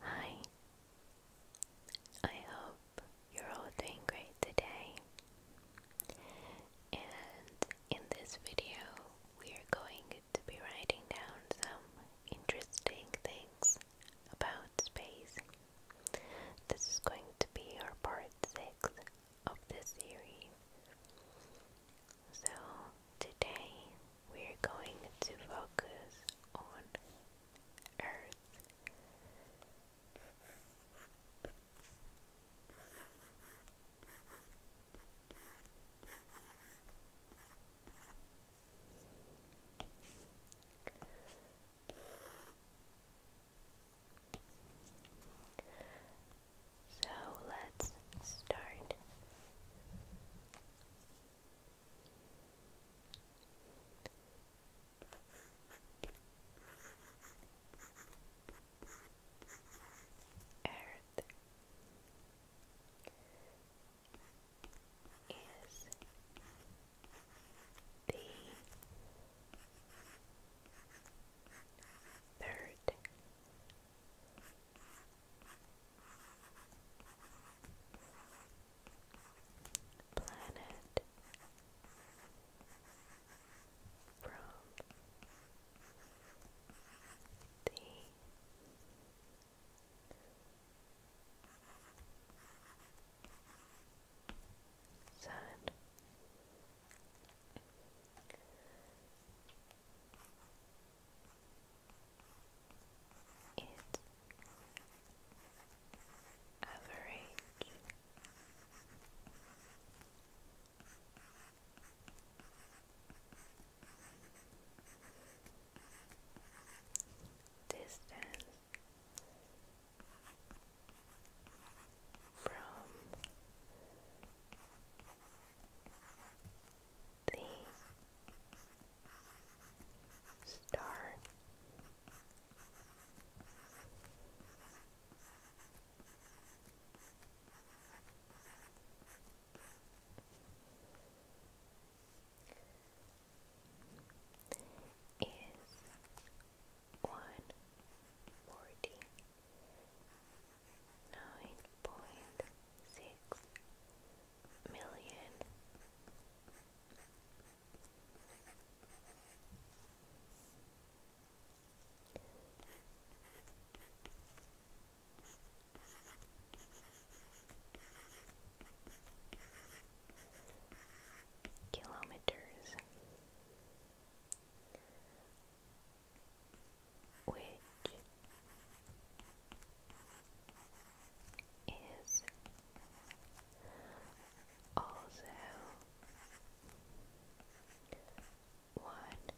Hi, I hope you're all doing great today. And in this video, we are going to be writing down some interesting things about space. This is going to be our part 6 of this series. So, today we're going to focus on Earth. So let's start Earth is the third planet from the Sun is average. Distance from the star. Is one forty nine point six million. Kilometers which is also one one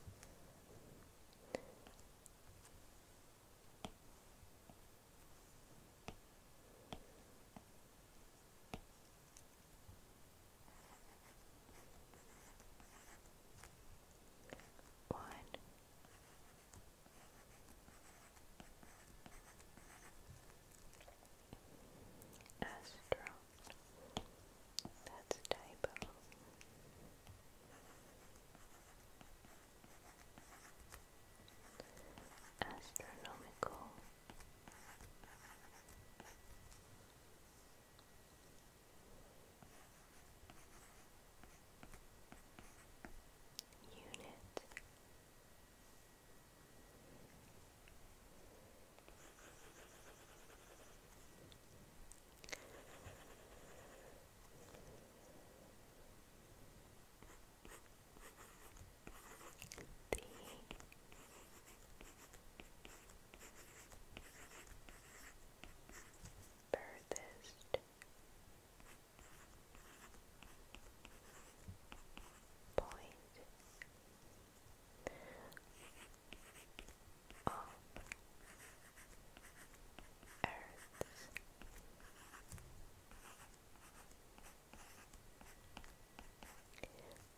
Astro. That's a typo. Astronomical. Astronomical unit. The furthest point of Earth.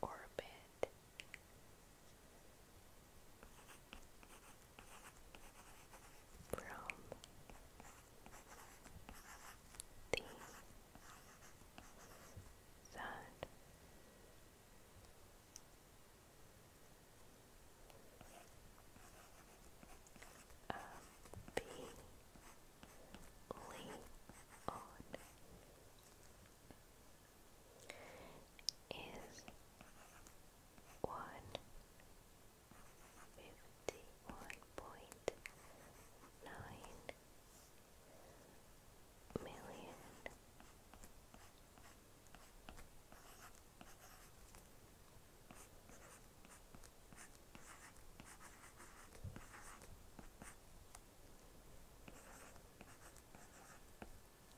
Orbit from the sun. Appealing on is one fifty one point nine million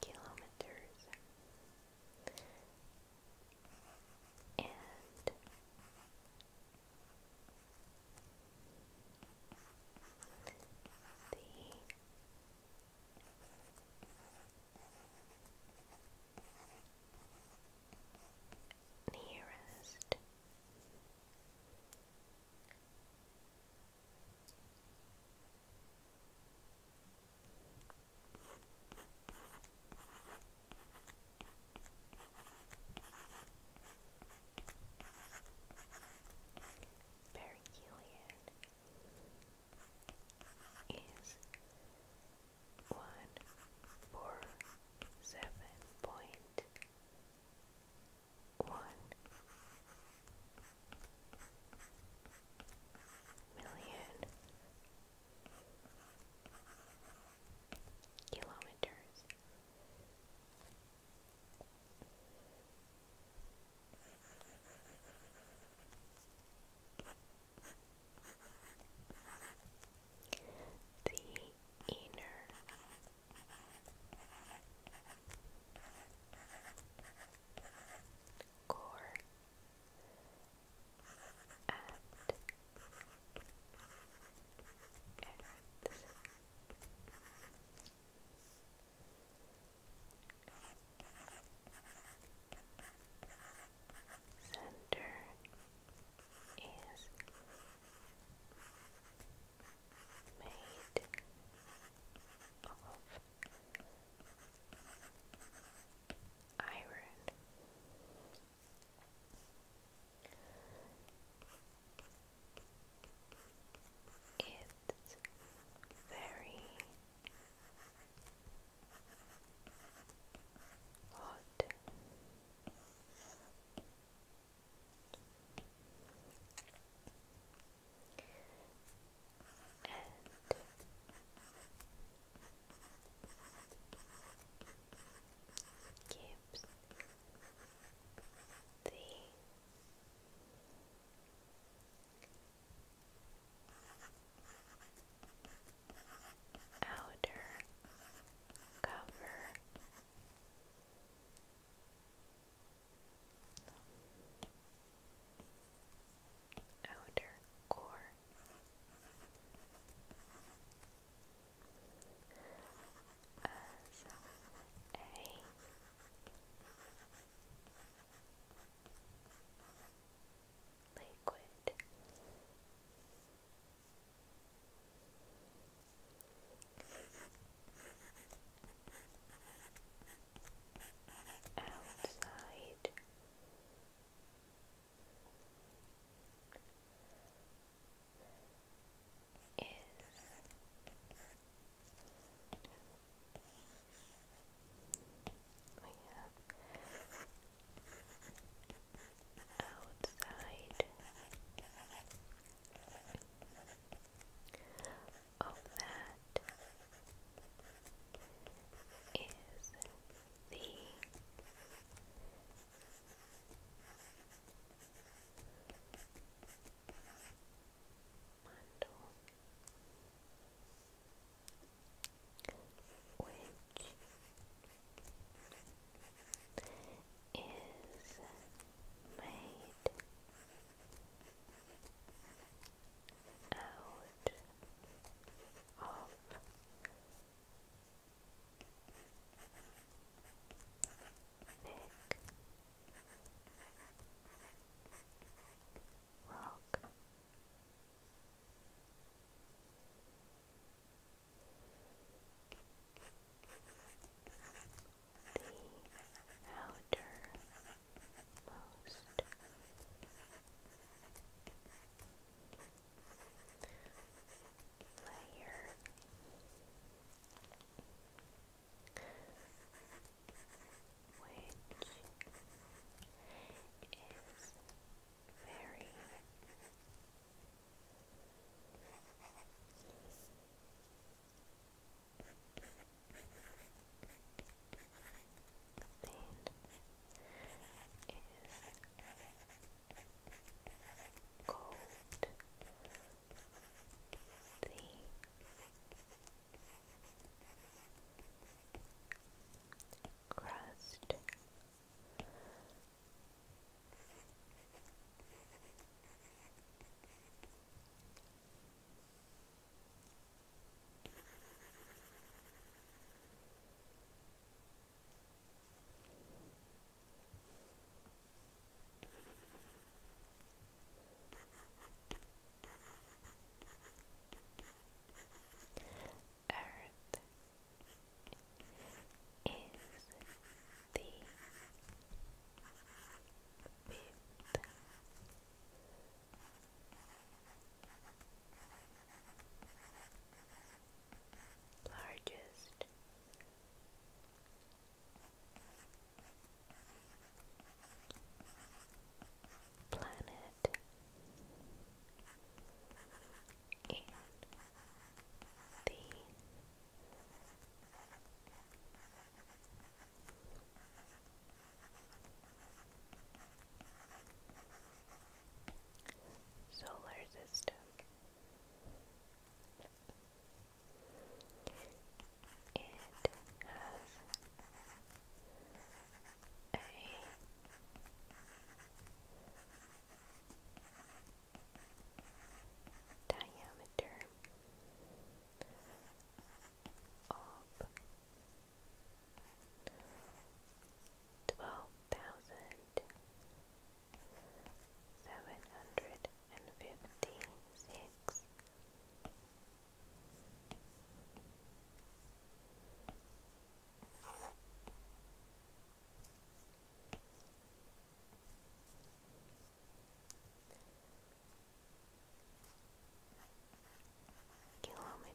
kilometers and the nearest Barry Gillian is one four seven point one million kilometers. The inner core Center is made of iron. It's very hot. And gives the outer cover outer core. As a liquid outside. Is outside of that is the Mandal, which is made out of Nick Rock. The outer most. Layer. Which is very thing is called the crust. Earth is the fifth largest planet in the Solar system. It has a diameter of twelve thousand seven hundred and fifty six. Kilometers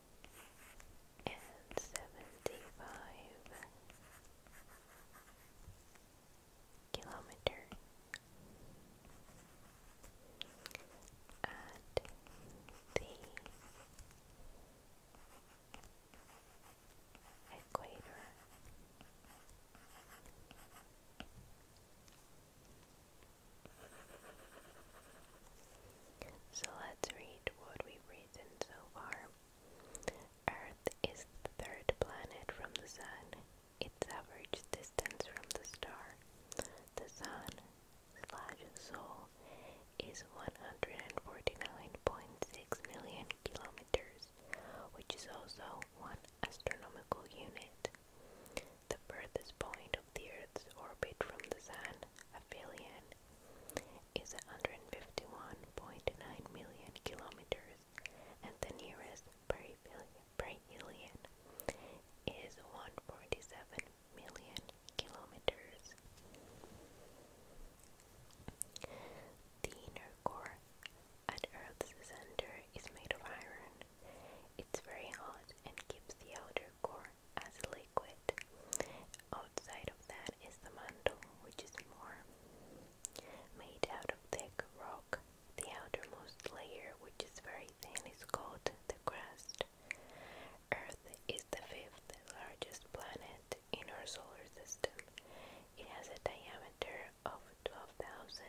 and seventy five kilometers at the equator. So let's read what we've written so far. Earth is the third planet from the Sun. Its average distance from the star, the Sun slash Sol, is 149.6 million kilometers, which is also one astronomical unit. The furthest point the Earth's orbit from the Sun, aphelion, is 151.9 million kilometers, and the nearest perihelion is 147 million kilometers. The inner core at Earth's center is made of iron. It's very hot and keeps the outer core as liquid. Outside of that is the mantle, which is more made out of thick rock. The outermost layer, which is very thin, is called the crust. Earth is the fifth largest planet in our solar system. It has a diameter of 12,500.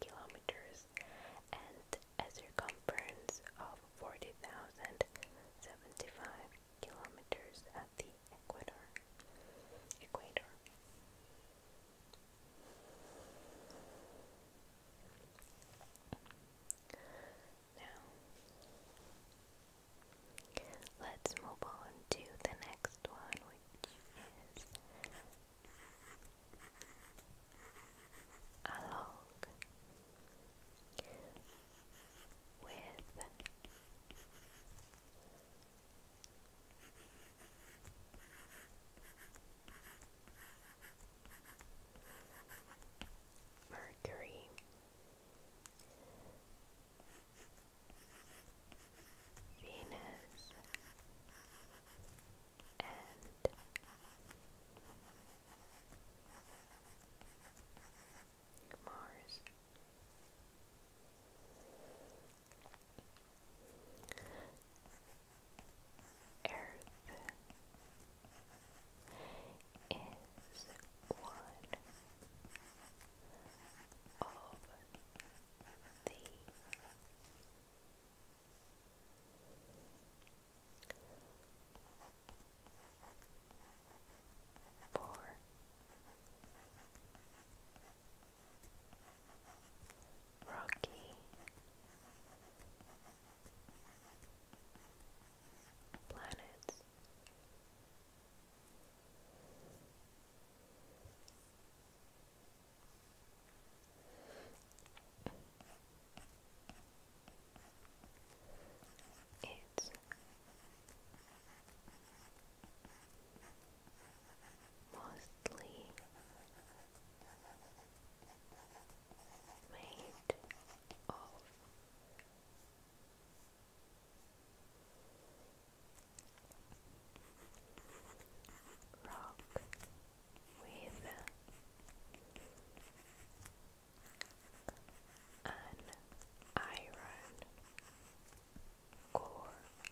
kilometers and a circumference of 40,075 kilometers at the equator. equator. Now, let's move on to the next one, which is along with Mercury. Venus and Mars. Earth is one of the four, Rocky planets. It's mostly made of rock with an iron core and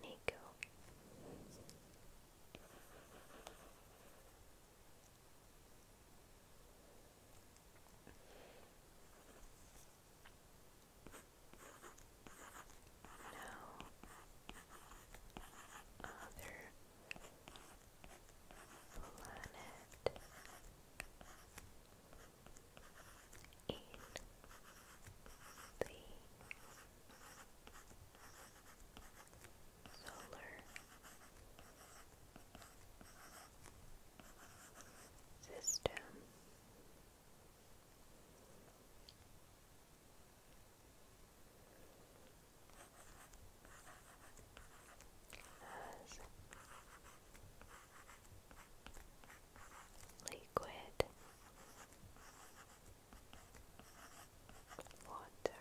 nickel no other planet in the solar system. Has liquid water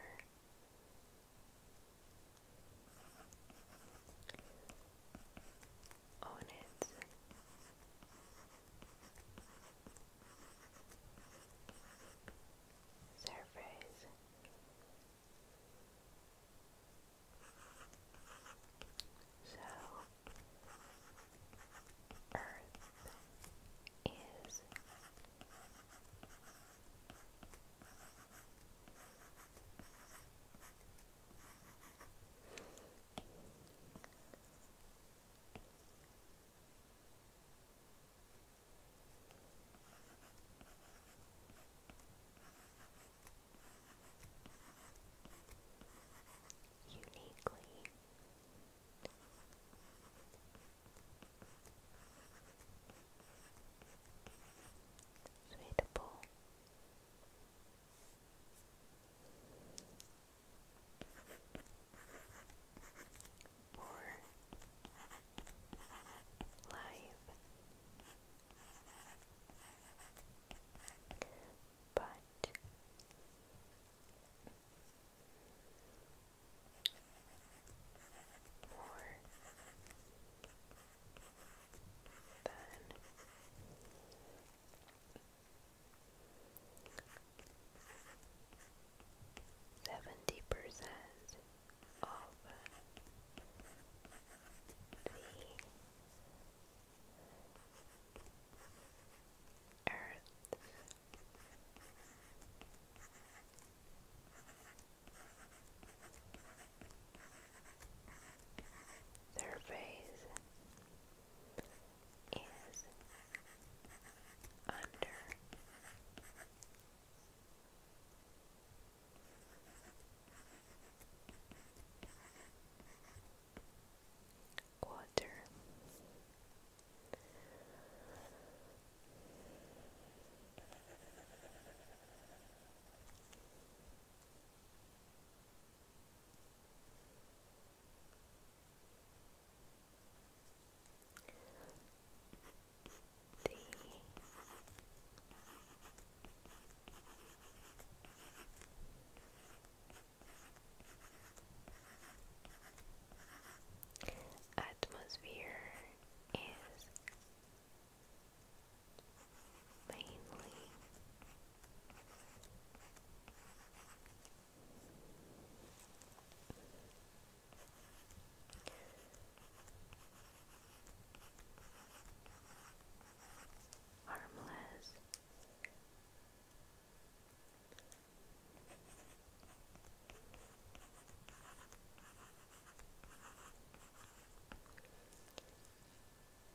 own it. Surface. So, Earth is Uniquely. Uniquely suitable. Or live, but more than seventy percent of the earth their face is under water. The atmosphere is mainly harmless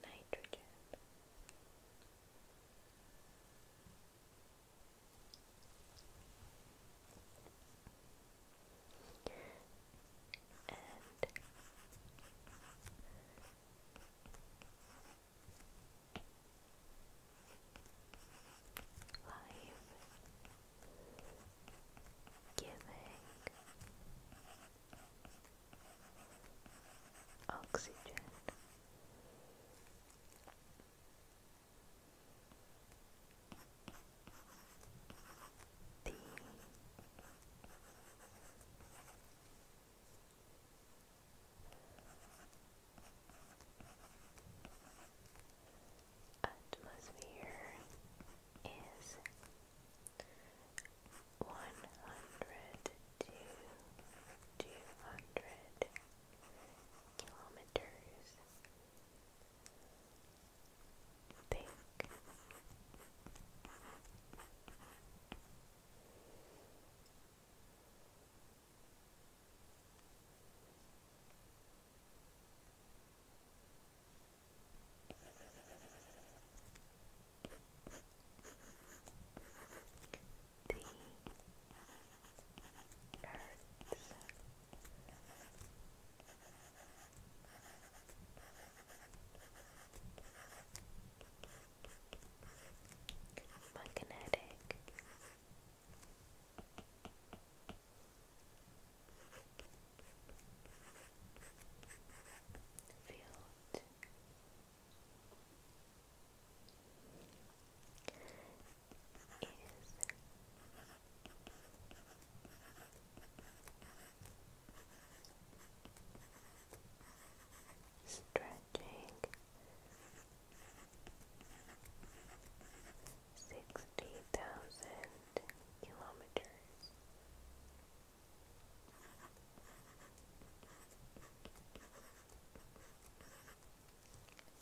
nitrogen. And live giving oxygen the atmosphere is one hundred to two hundred kilometers thick. The Earth's magnetic field is stretching sixty thousand kilometers.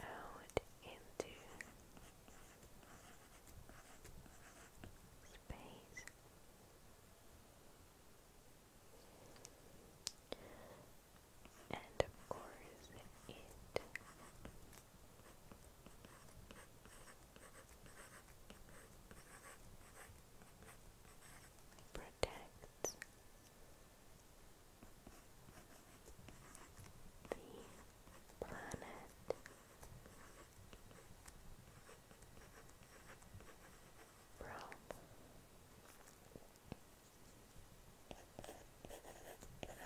Out into space. And of course, it protects the planet. From harmful.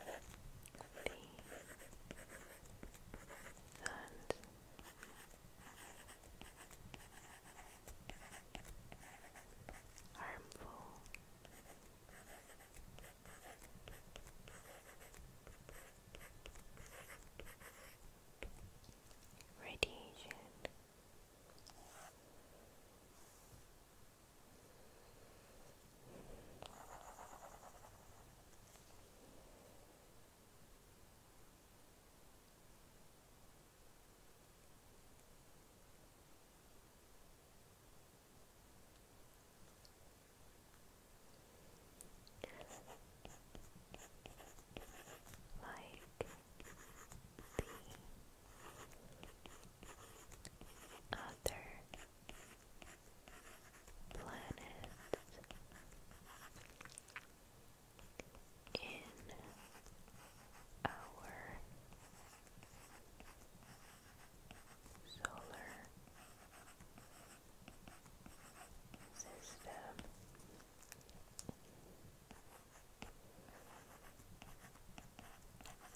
Radiation. Like the other planet in our solar system.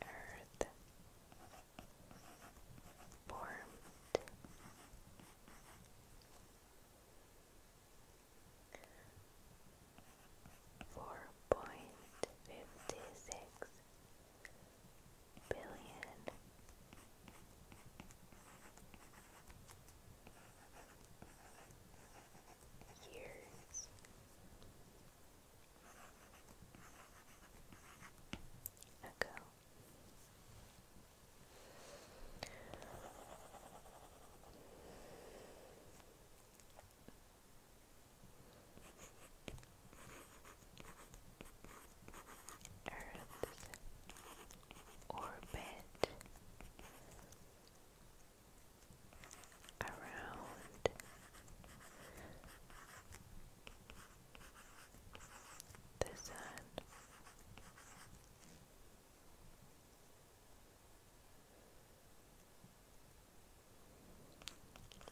Earth formed. Four point fifty six billion years. Ago, Earth's orbit around the sun.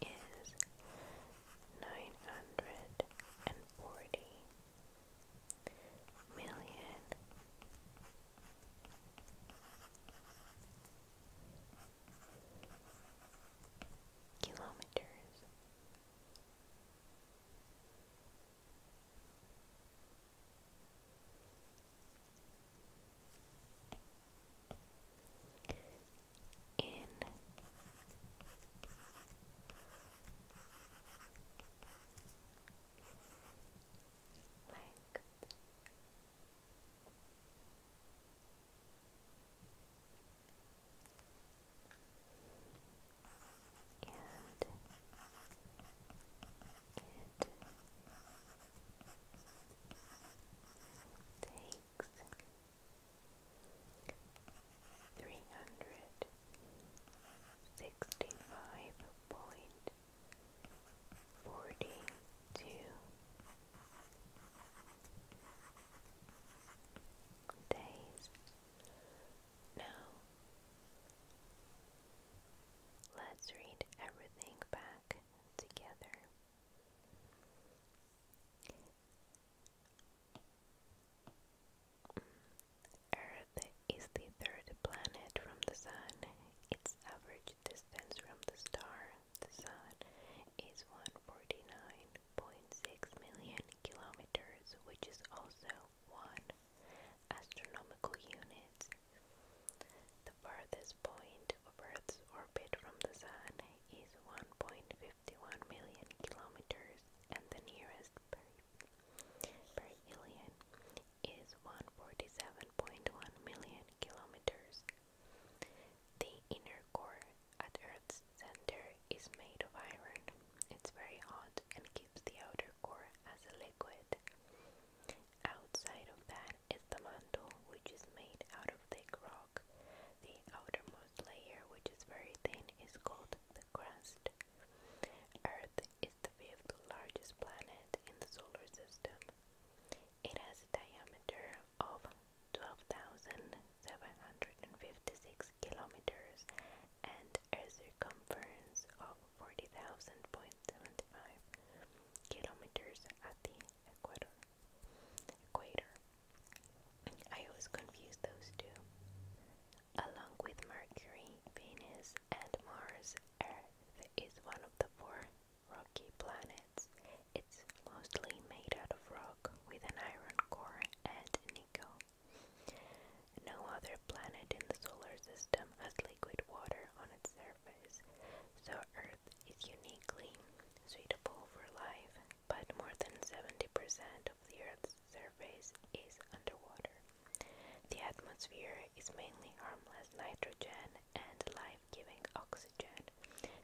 Is nine hundred and forty million kilometers. In like and it takes three hundred sixty five point forty two days. Now, let's read everything back together. Mm, Earth is the third planet from the Sun. Its average distance from the star, the Sun, is 149 million kilometers, which is also one astronomical unit. The farthest point of Earth's orbit from the Sun is 1.51 million kilometers, and the nearest perihelion is 147.1 million kilometers. The inner core at Earth's center is made of iron. It's very hot and keeps the outer core as a liquid. Outside of that is the mantle, which is made out of thick rock. The outermost layer, which is very thin, is called the crust. Earth is the fifth largest planet in the solar system. It has a diameter of 12,756 kilometers and a circumference of 40,000.75 kilometers at the equator. equator. I always confuse those two. Along with Mercury, Venus, and Mars, Earth is one of the four rocky planets it's mostly made out of rock with an iron core and nickel. No other planet in the solar system has liquid water on its surface, so Earth is uniquely suitable for life, but more than 70% of the Earth's surface is underwater. The atmosphere is mainly harmless nitrogen and life giving oxygen.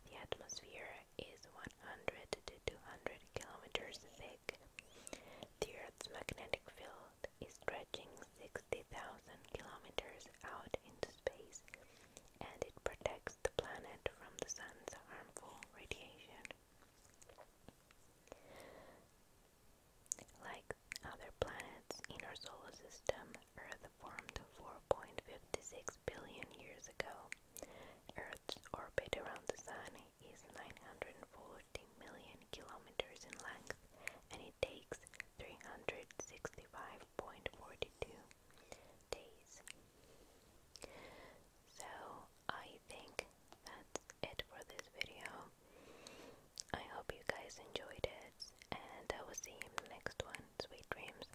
The atmosphere is 100 to 200 kilometers thick. The Earth's magnetic field is stretching 60,000 kilometers out into space, and it protects the planet from the sun's harmful radiation. Like other planets in our solar system, Earth formed 4.56 billion years ago. Earth's orbit around the Sun is 940 million kilometers in length and it takes 365.42 days. So, I think that's it for this video. I hope you guys enjoyed it, and I will see you next one. Sweet dreams.